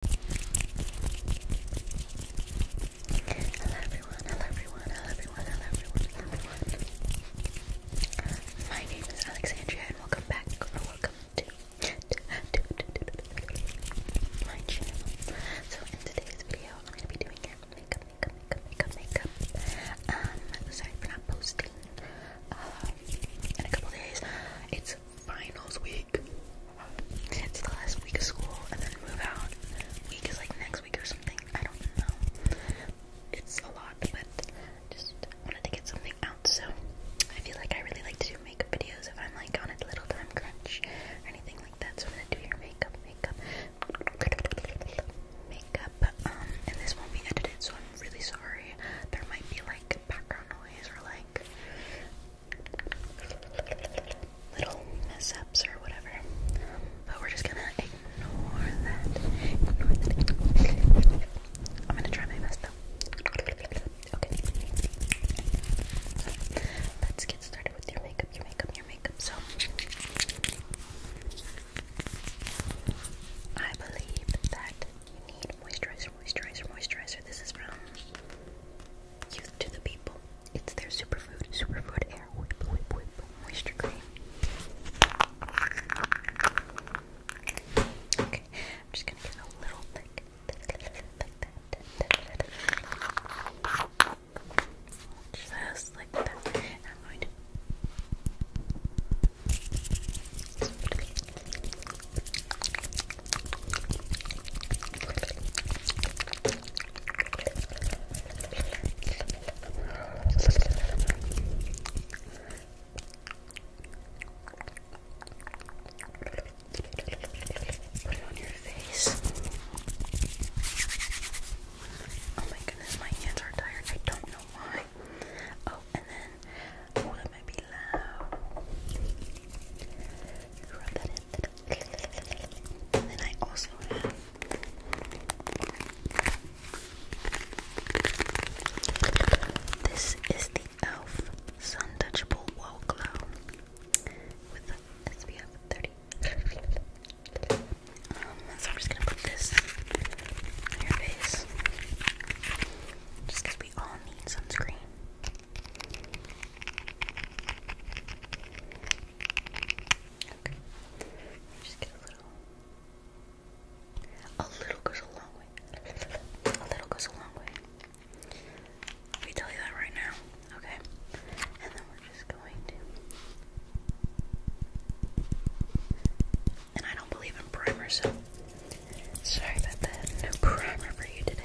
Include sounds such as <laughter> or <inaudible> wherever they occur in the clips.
Hello everyone, hello everyone, hello everyone, hello everyone, hello everyone. My name is Alexandria and welcome back or welcome to, to, to, to, to, to my channel. So in today's video I'm gonna be doing makeup, makeup, makeup, makeup, makeup. Um sorry for not posting um in a couple days. It's finals week. It's the last week of school and then move out. Week is like next week or something. I don't know. It's a lot, but just wanted to get something out. So I feel like I really like to do makeup videos if I'm like on a little time crunch anything like that. So I'm gonna do your makeup, makeup, makeup. Um, and this won't be edited, so I'm really sorry. There might be like background noise or like little mess or whatever. but we're just gonna Ignore that. I'm gonna try my best though. Okay. Let's get started with your makeup, your makeup, your makeup. So, I believe that you need moisturizer, moisturizer, moisturizer. This is from Youth to the people. It's their superfood, superfood air whip, whip, whip, moisture cream. Okay, I'm just gonna get a little thick, just like that. Put it on your face. Oh my goodness, my hands are tired. I don't know why. Oh, and then oh, then I also have this is the e.l.f. Sun Touchable Wow Glow with SPF 30. Um, so I'm just gonna put this on your face just we all need sunscreen. Okay. Just get a little. A little goes a long way. A little goes a long way. We tell you that right now, okay? And then we're just going to. And I don't believe in primer, sorry about that. No primer for you today.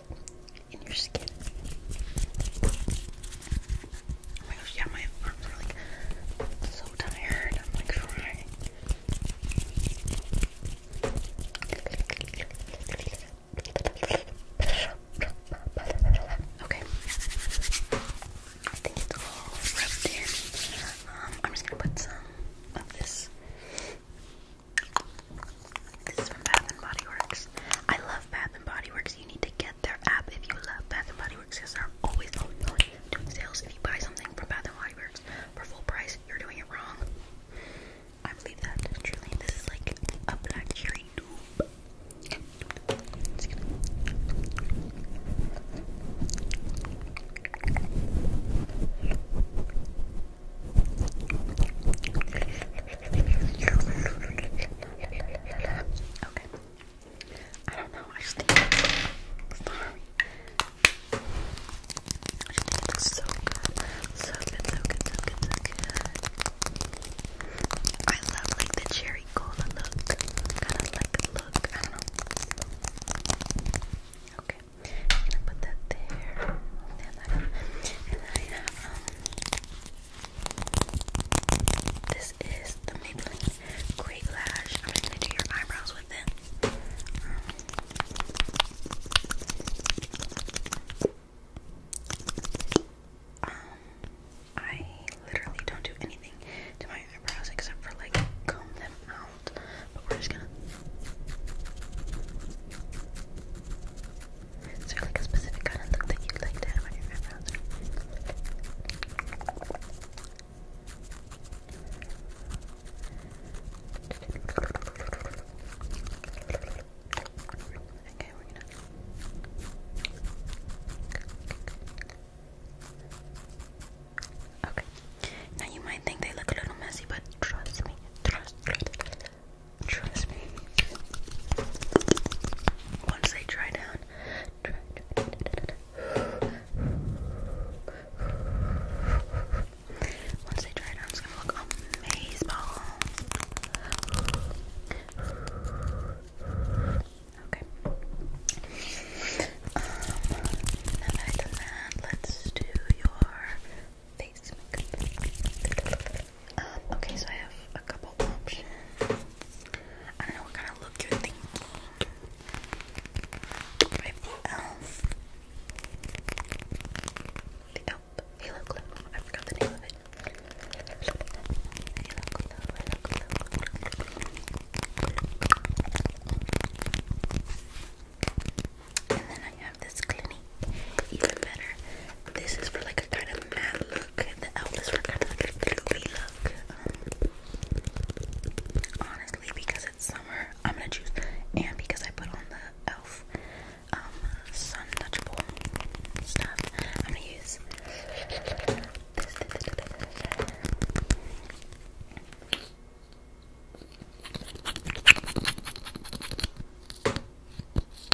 in your skin. Oh my gosh, yeah, my arms are like so tired. I'm like crying. Okay. I think it's all rubbed in. Um, I'm just gonna put some of this this is from Bath and Body Works. I love Bath and Body Works. You need to get their app if you love Bath and Body Works because they're always, always, always doing sales. If you buy something from Bath and Body Works for full price, you're doing it wrong. I believe that truly. This is like a black cherry Okay. I don't know. I just think it looks so good. So good, so good, so I love like the cherry cola look. Kind of like the look. I don't know. Okay. i put that there. And then and then I have um this is the Maybelline Great Lash. I'm just gonna do your eyebrows with it. Um, I literally don't do anything to my eyebrows except for like comb them out. But we're just gonna. Is there like a specific kind of look that you'd like to have on your eyebrows? Okay, we're gonna. Okay. Now you might think they look a little messy, but trust me, Trust me. Once they dry down, once they dry down, it's gonna look amazing. Okay. Um, now let's do your um, okay, so I have a couple options. I don't know what kind of look you're thinking. elf. Um, the elf. Halo Glow. I forgot the name of it. And then I have this Clinique even better. This is for like a kind of matte look, the outfits for kind of like a gloopy look. Um, honestly, because it's summer, I'm gonna choose, and because I put on the elf um, sun touchable stuff, I'm gonna use this.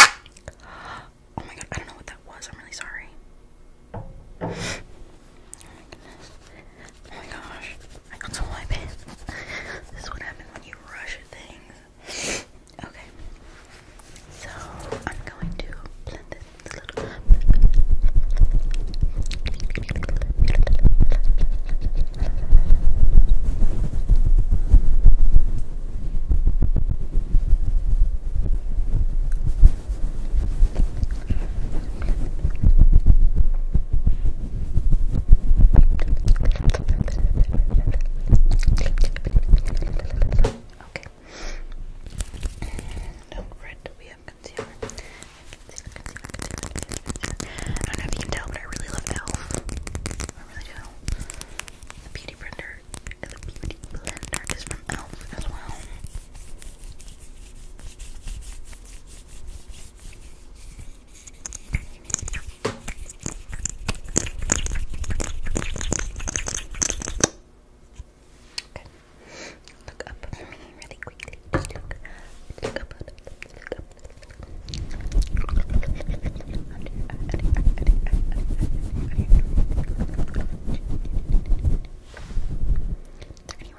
Oh my god, I don't know what that was. I'm really sorry. Oh my gosh. I got so wipe This is what when you rush things. Okay. So I'm going to blend this a little bit. Okay. Don't uh, we have concealer. I don't know if you can tell, but I really love e.l.f. The beauty blender, the beauty blender is from Elf as well. Okay. Look up for me really quickly. look, look up, Anywhere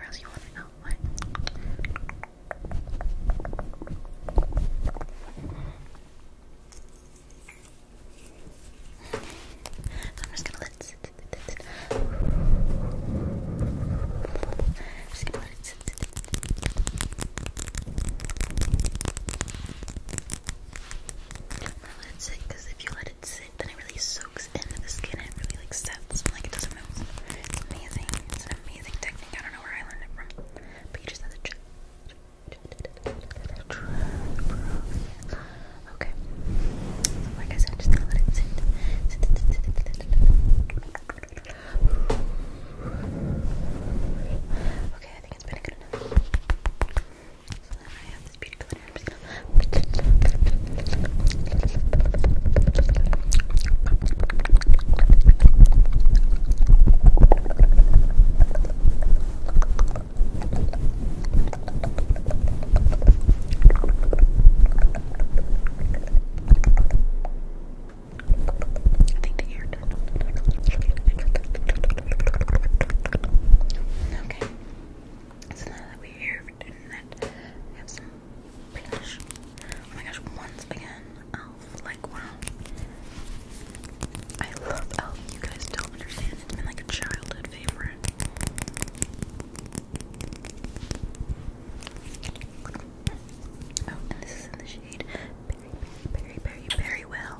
else you want to know what? i I'm just gonna let let it sit because if you let it sit, then it really soaks into the skin and it really like sets like it doesn't move. amazing. It's an amazing technique. I don't know where I learned it from, but you just have to check. Okay. So like I said, I'm just gonna let it sit. sit, sit, sit, sit, sit, sit. Okay, I think it's been good enough. So now I have this beautiful I Okay. So now that we're here have some blush. Oh my gosh, once again, e.l.f. Like, wow. I love e.l.f. You guys don't understand. It's been like a childhood favorite. Oh, and this is in the shade very, very, very, well.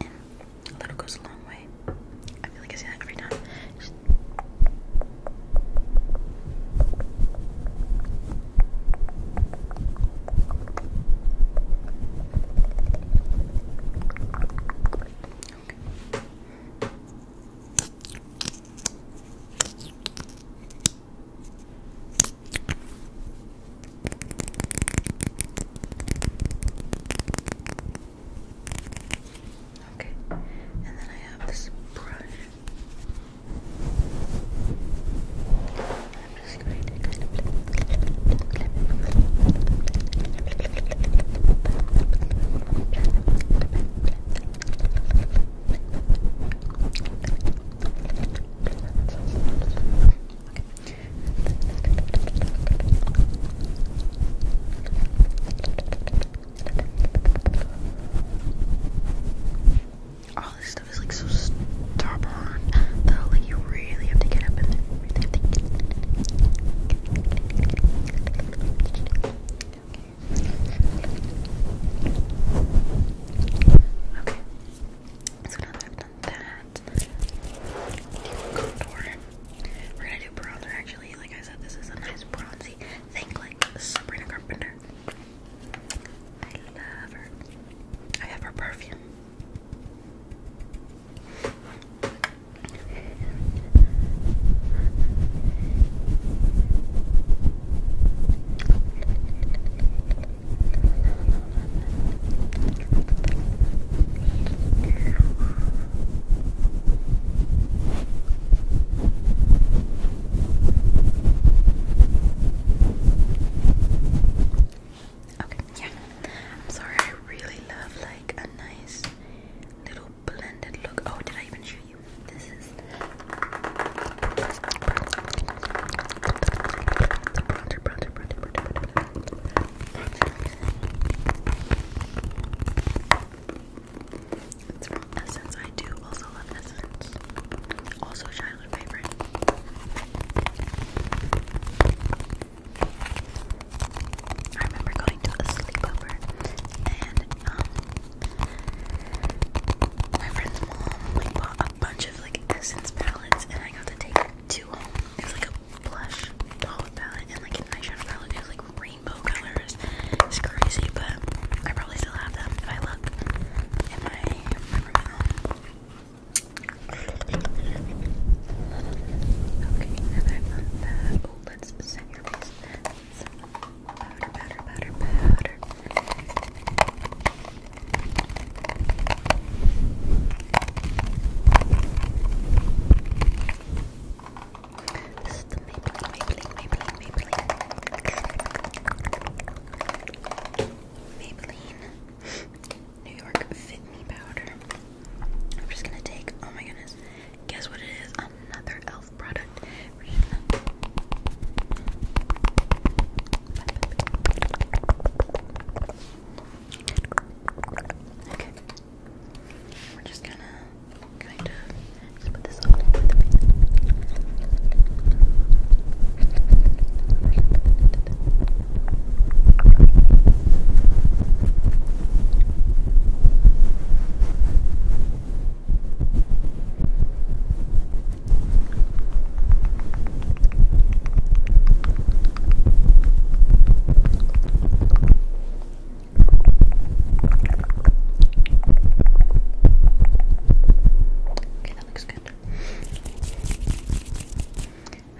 a little goes a long way. I feel like I say that every time. Okay, and then I have this brush. I'm just going to kind of clip, clip, clip, clip, clip, clip, clip, clip, all this stuff is like so stubborn, though. Like you really have to get up and really Okay. I've We're gonna do bronzer actually. Like I said, this is a nice bronzy thing, like Sabrina Carpenter. I love her. I have her perfume. Okay, yeah. I'm sorry, I really love like a nice little blended look. Oh, did I even show you? This is bronzer, bronzer, Essence. I do also love Essence. Also childhood favorite. I remember going to a sleepover and um, my friend's mom like bought a bunch like essence palettes, and I got to take two home. It like a blush palette and like an eyeshadow palette. It like rainbow colors. It's crazy, but I probably still have them if I look in my room Okay, now that I've done that, oh, your face. Powder, powder, powder, powder. This Maybelline, Maybelline, Maybelline, Maybelline. Maybelline New York Fit Me Powder. I'm just gonna take, oh my goodness, guess what it is? Another e.l.f. product. Okay. We're just gonna kind of just put this on. Okay. Okay, that looks good.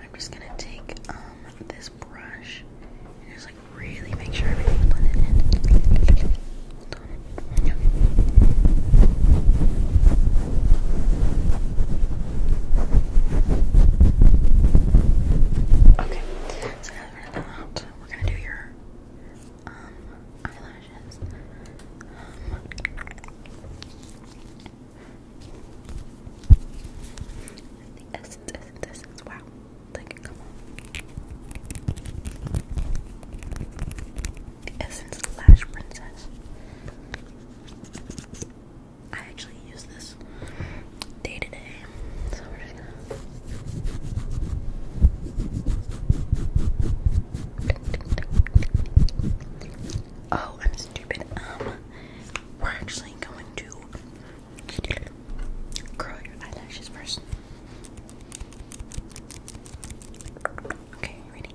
I'm just gonna take um this brush and just like really make sure everything's blended in. Okay, so now we're done that, we're gonna do your um, eyelashes. Um, the essence, essence, essence. Wow, like come on. The Essence Lash Princess. I actually use this day to day, Oh, I'm stupid. Um, we're actually going to curl your eyelashes first. Okay, ready?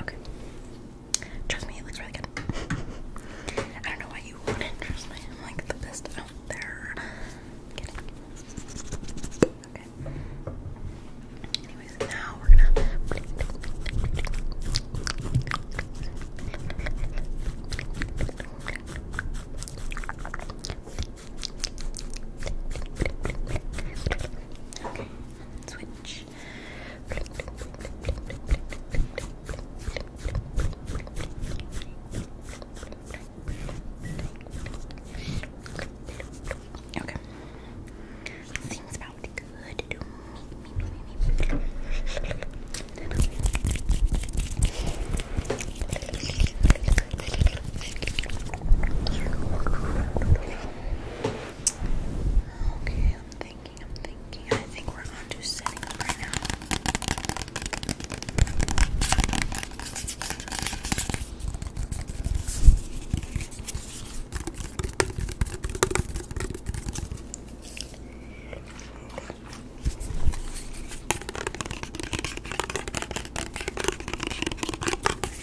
Okay. Trust me, it looks really good. I don't know why you wouldn't trust me. I'm like the best there. Okay. Anyways, now we're gonna. Okay switch. Okay. Seems about to me. me, Okay, I'm thinking, I'm thinking. I think we're on to setting right now.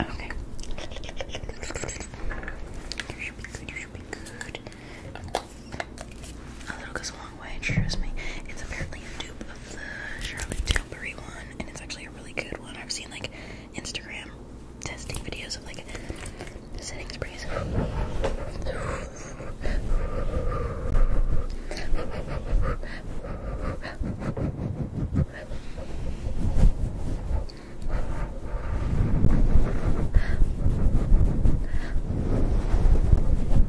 Okay. You should be good, you should be good. A little goes a long way, trust me. It's apparently a dupe of the Charlotte Tilbury one, and it's actually a really good one. I've seen like Instagram testing videos of like setting sprays.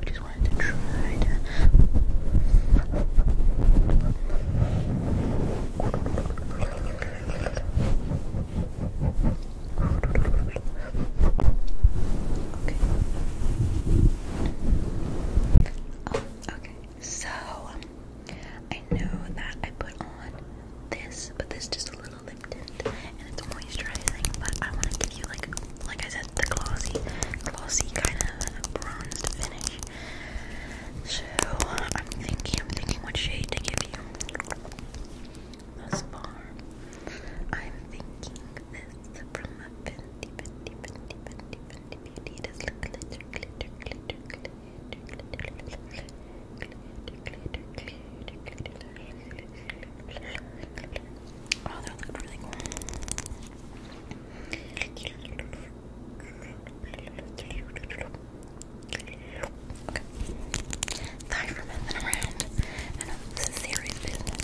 Just wanted to try to Okay. Um, okay. So I know that I put on this, but this just a little lip and it's moisturizing, but I want to give you like like I said, the glossy, glossy kind of bronzed finish. So I'm thinking, I'm thinking what shade to give you thus far. I'm thinking this from Fenty, different you Oh, that looked really cool. Okay. Sorry for messing around. I this is serious business.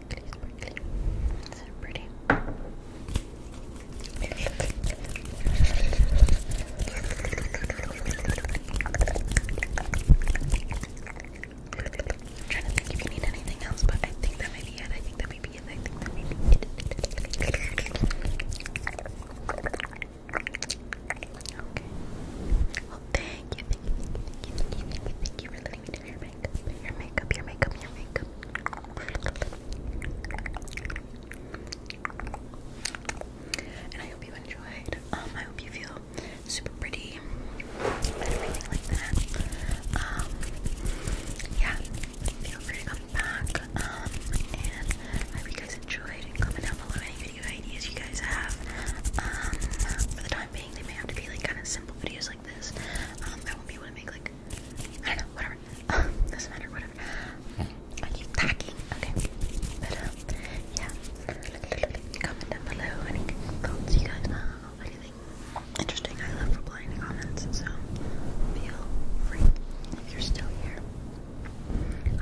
sparkly, sparkly. So pretty. I'm trying to think if you need anything else, but I think that might be it. I think that might be it. I think that might be it. Okay. thank you, thank you, thank you, thank you, thank you, your makeup, your makeup, your makeup, your makeup. And I hope you enjoyed. Um, I hope you feel super pretty and everything like that. Um, yeah, feel free to come back. Um, and I hope you guys enjoyed. Comment down below any video ideas you guys have. Um, for the time being, they may have to be like kind of simple videos like this. Um, I won't be able to make like I know, whatever. <laughs> Doesn't matter, whatever. Hmm. I keep packing, okay. But, um, yeah. Comment down below any thoughts you guys have, anything interesting. I love replying to comments, so feel free if you're still here.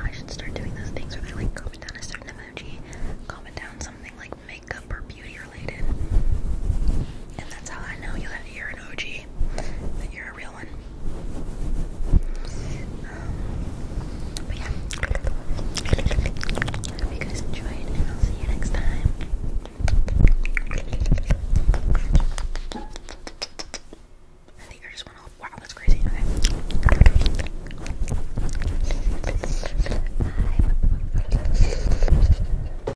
I should start doing those things where they like comment down a certain emoji, comment down something like makeup or beauty or and that's how I know you're an OG, that you're a real one. Um, but yeah, hope you guys enjoyed, and I'll see you next time. I think just went off. Wow, that's crazy. Okay.